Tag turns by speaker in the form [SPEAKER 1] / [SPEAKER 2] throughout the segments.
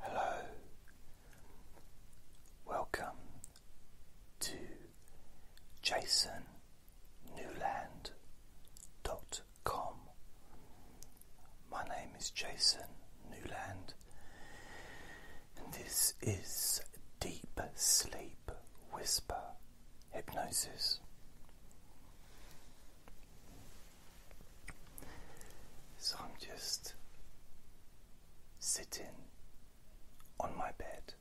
[SPEAKER 1] Hello, welcome to Jason jasonnewland.com. My name is Jason Newland, and this is Deep Sleep Whisper Hypnosis. So I'm just sitting on my bed.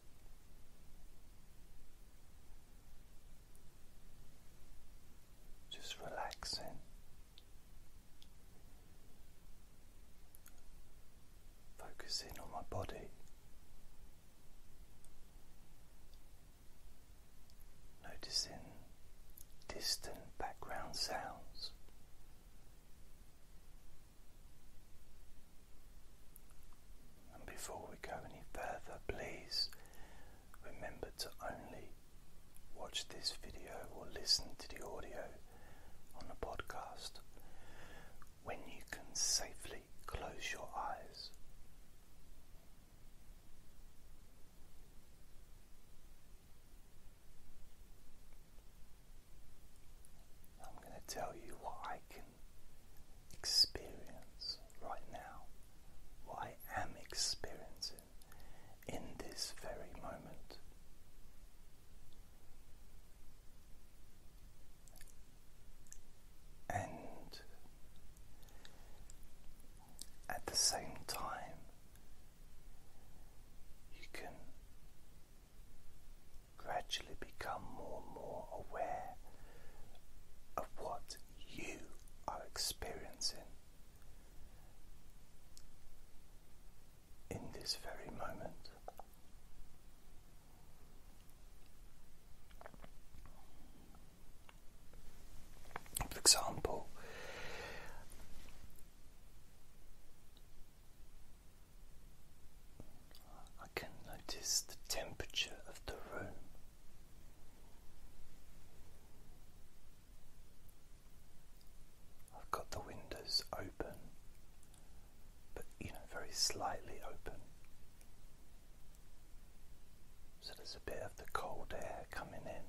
[SPEAKER 1] Just relaxing. Focusing on my body. Noticing distant background sounds. And before we go any further, please remember to only watch this video or listen to the audio on the podcast when you can safely close your eyes. I'm going to tell you what I can experience right now, what I am experiencing in this very moment. And at the same time, you can gradually become more and more aware of what you are experiencing in this very moment. For example, I can notice the temperature of the room. I've got the windows open, but you know, very slightly open. So there's a bit of the cold air coming in.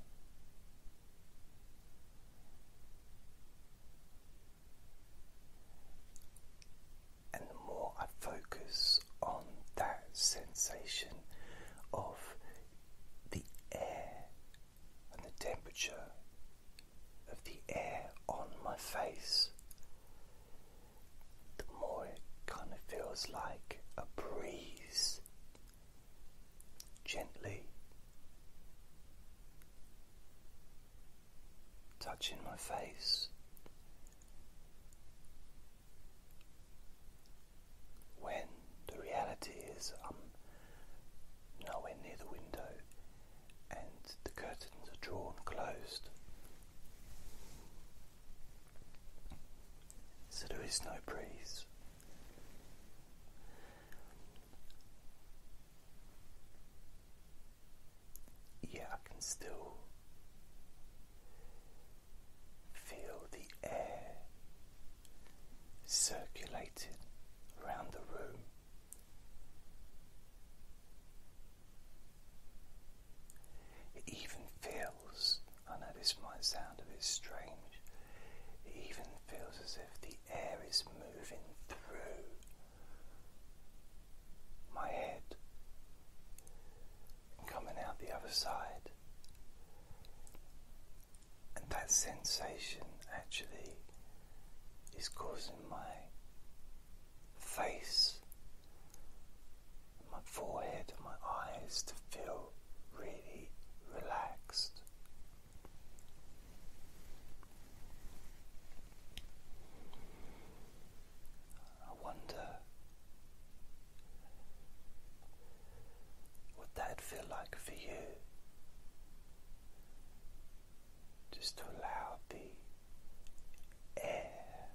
[SPEAKER 1] And the more I focus on that sensation of the air and the temperature of the air on my face, the more it kind of feels like a breeze gently touching my face. When the reality is, I'm nowhere near the window and the curtains are drawn closed. So there is no breeze. Yeah, I can still feel the air circulating around the room. It even feels, I know this might sound a bit strange, it even feels as if the air is moving through my head and coming out the other side. And that sensation actually is causing my face, my forehead, and my eyes to feel really relaxed. I wonder what that'd feel like for you just to allow the air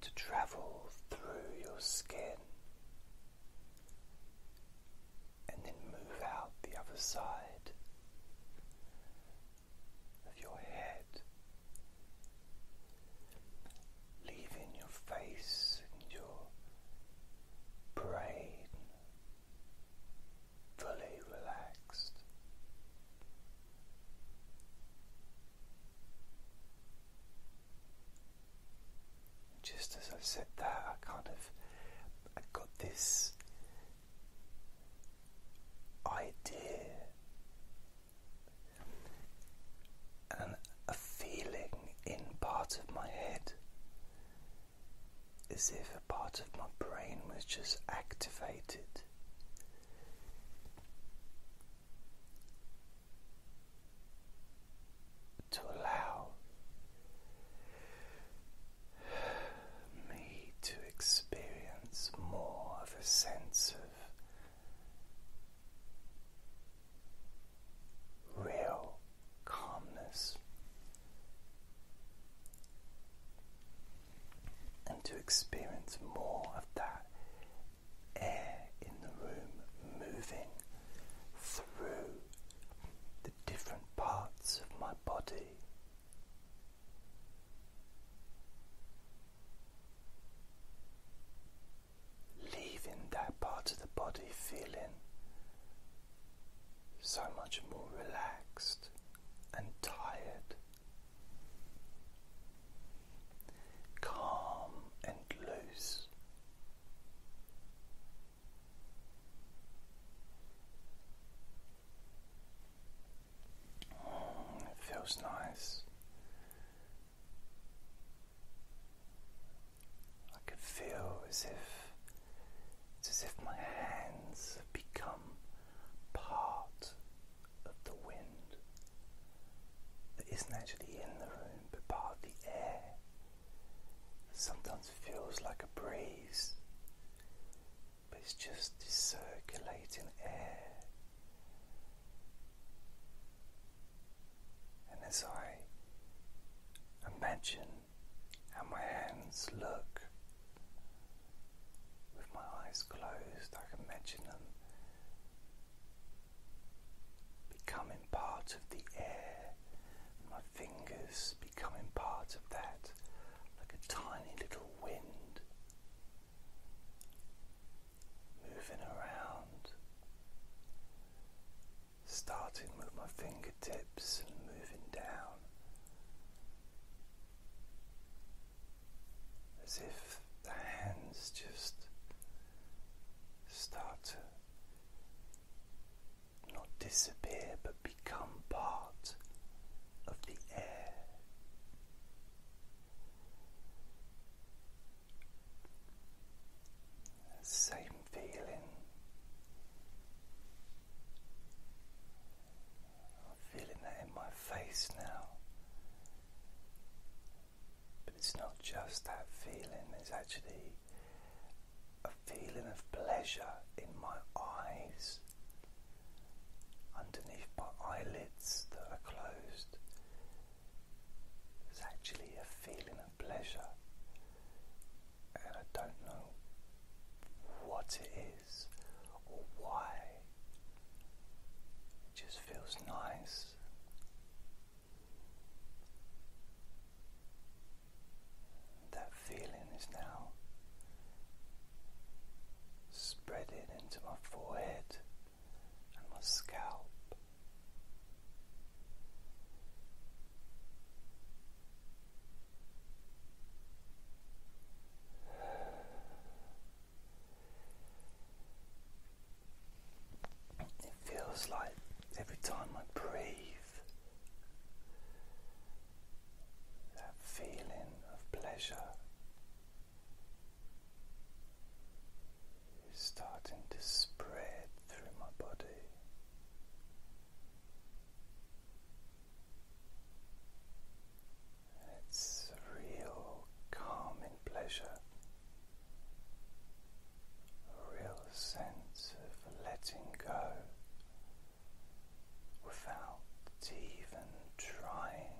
[SPEAKER 1] to travel through your skin and then move out the other side of your head, leaving your face and your brain fully relaxed. Just as I said that, I kind of I got this idea and a feeling in part of my head as if a part of my brain was just activated to allow me to experience more of a sense of real calmness and to experience more of that air in the room moving through the different parts of my body. Leaving that part of the body feeling so much more relaxed and tired calm and loose. Mm, it feels nice. I can feel as if it's as if my hands have become part of the wind that isn't actually in the room but part of the air that sometimes feels like a breeze, but it's just circulating air. And as I imagine how my hands look with my eyes closed, I can imagine them becoming part of the air, my fingers becoming part of that, like a tiny little wind moving around, starting with my fingertips and moving down as if the hands just start to not disappear but become part of the air. Same feeling. feeling that in my face now. But it's not just that feeling, there's actually a feeling of pleasure in my eyes, underneath my eyelids that are closed. There's actually a feeling of pleasure, and I don't know what it is or why. It just feels nice. That feeling is now spreading into my forehead and my scalp. It feels like every time I breathe, that feeling of pleasure is starting to spread through my body. it's a real calming pleasure a real sense of letting go without even trying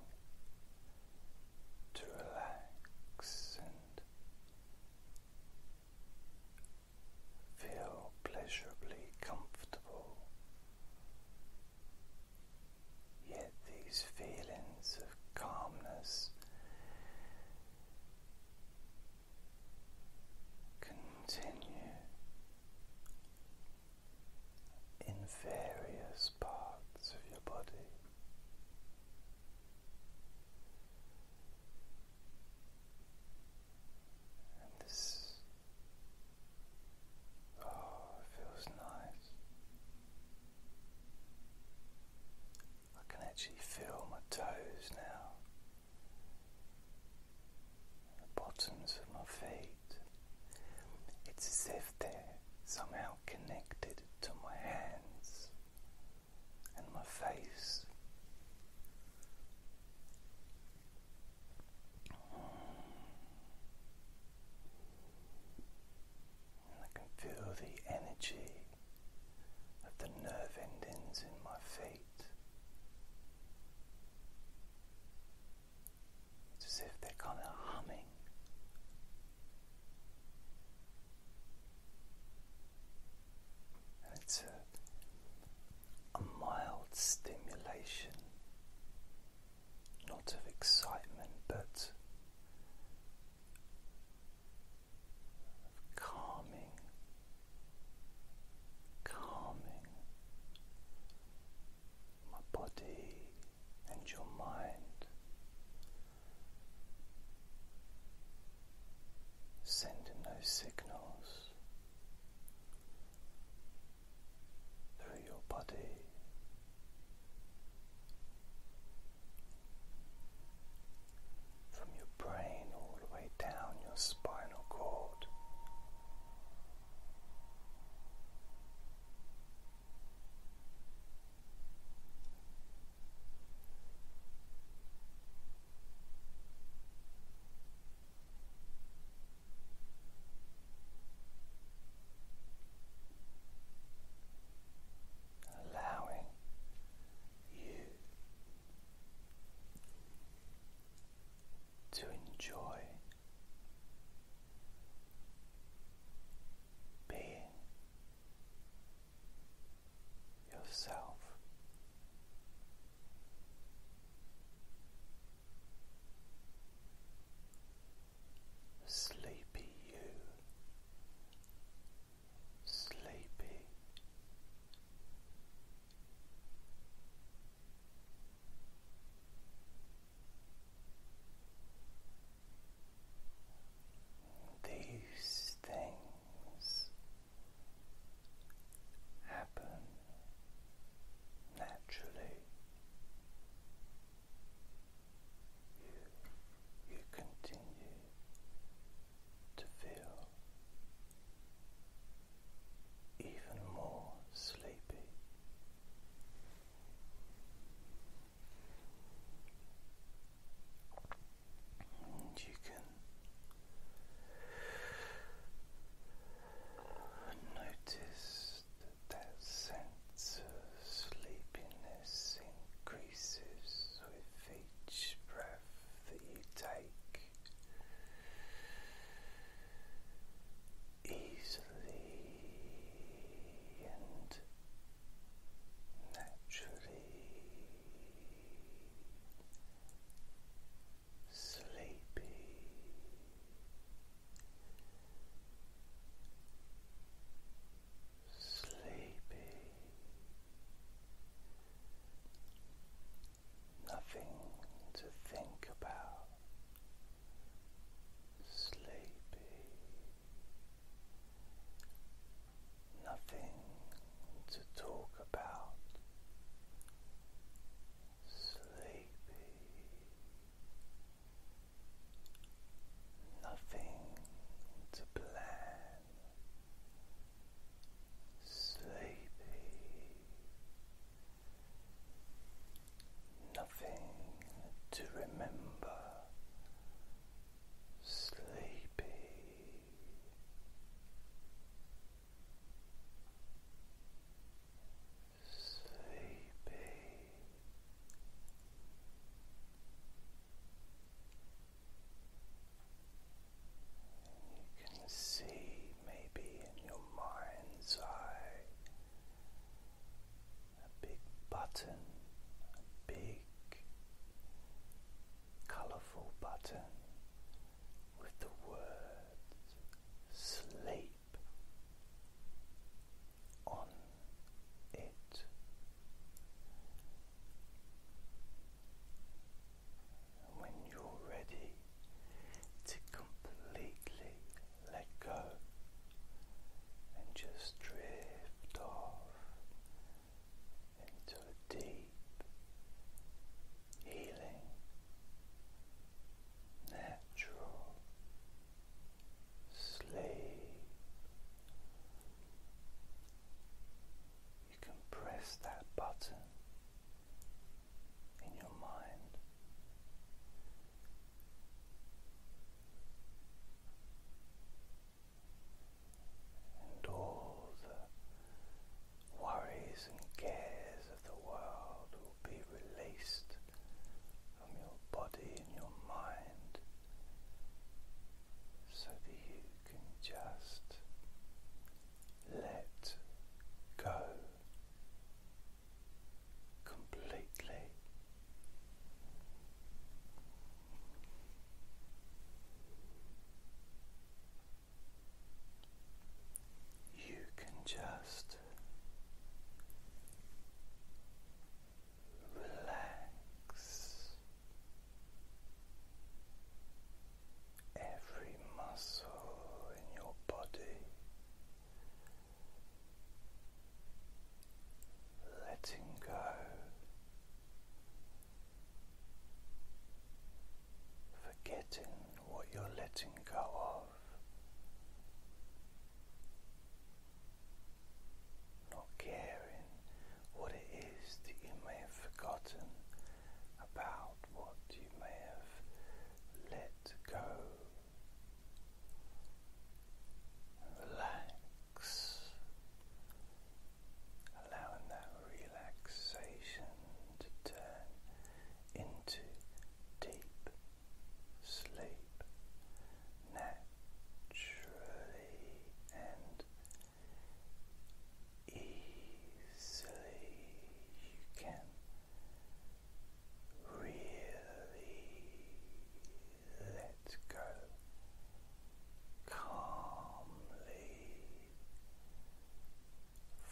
[SPEAKER 1] to relax and feel pleasurably comfortable Yet these feelings of calmness continue in various parts of your body. this oh, it feels nice. I can actually feel my toes now, the bottoms of my feet. It's as if they're somehow connected to my hands and my face. I can feel the energy of the nerve endings in my feet. It's as if they're kind of humming. And it's a mild stimulation, not of excitement, but calming, calming my body and your mind, sending those signals through your body from your brain all the way down your spinal cord allowing you to enjoy being yourself sleepy you, sleepy. These things happen naturally you, you continue to feel even more sleepy. And you can notice that, that sleepiness increases with each breath that you take. Easily and naturally sleepy sleepy. Nothing to think about. Sleepy. Nothing to talk about. Sleepy nothing to plan, sleepy, nothing to remember, sleepy. Sleepy, you can see maybe in your mind's eye a big button, a big colorful button with the words sleep on it. when you're ready to completely let go and just drift off into a deep healing, natural sleep. You can press that button in your mind. And all the worries and cares of the world will be released from your body and your mind so that you can just let go completely. You can just relax every muscle in your body, letting go. Forgetting what you're letting go of, not caring what it is that you may have forgotten about what you may have let go. Relax, allowing that relaxation to turn into deep sleep, natural. Truly and easily you can really let go calmly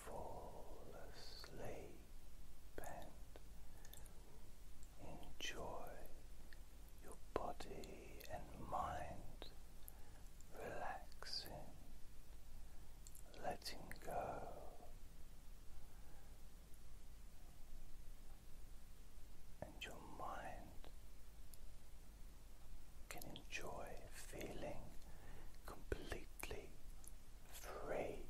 [SPEAKER 1] fall asleep and enjoy your body and mind relaxing, letting go. And your mind can enjoy feeling completely free,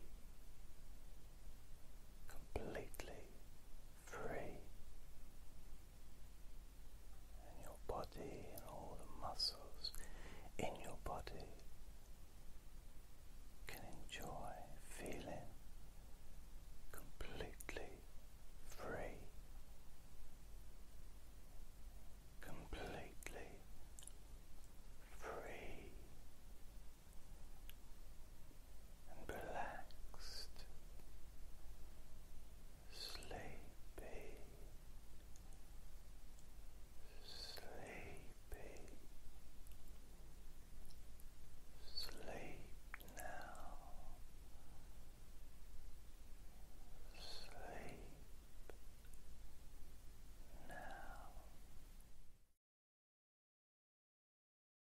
[SPEAKER 1] completely free, and your body and all the muscles in your body can enjoy feeling completely free, completely free and relaxed, sleepy, sleepy. Sleep now. Sleep now.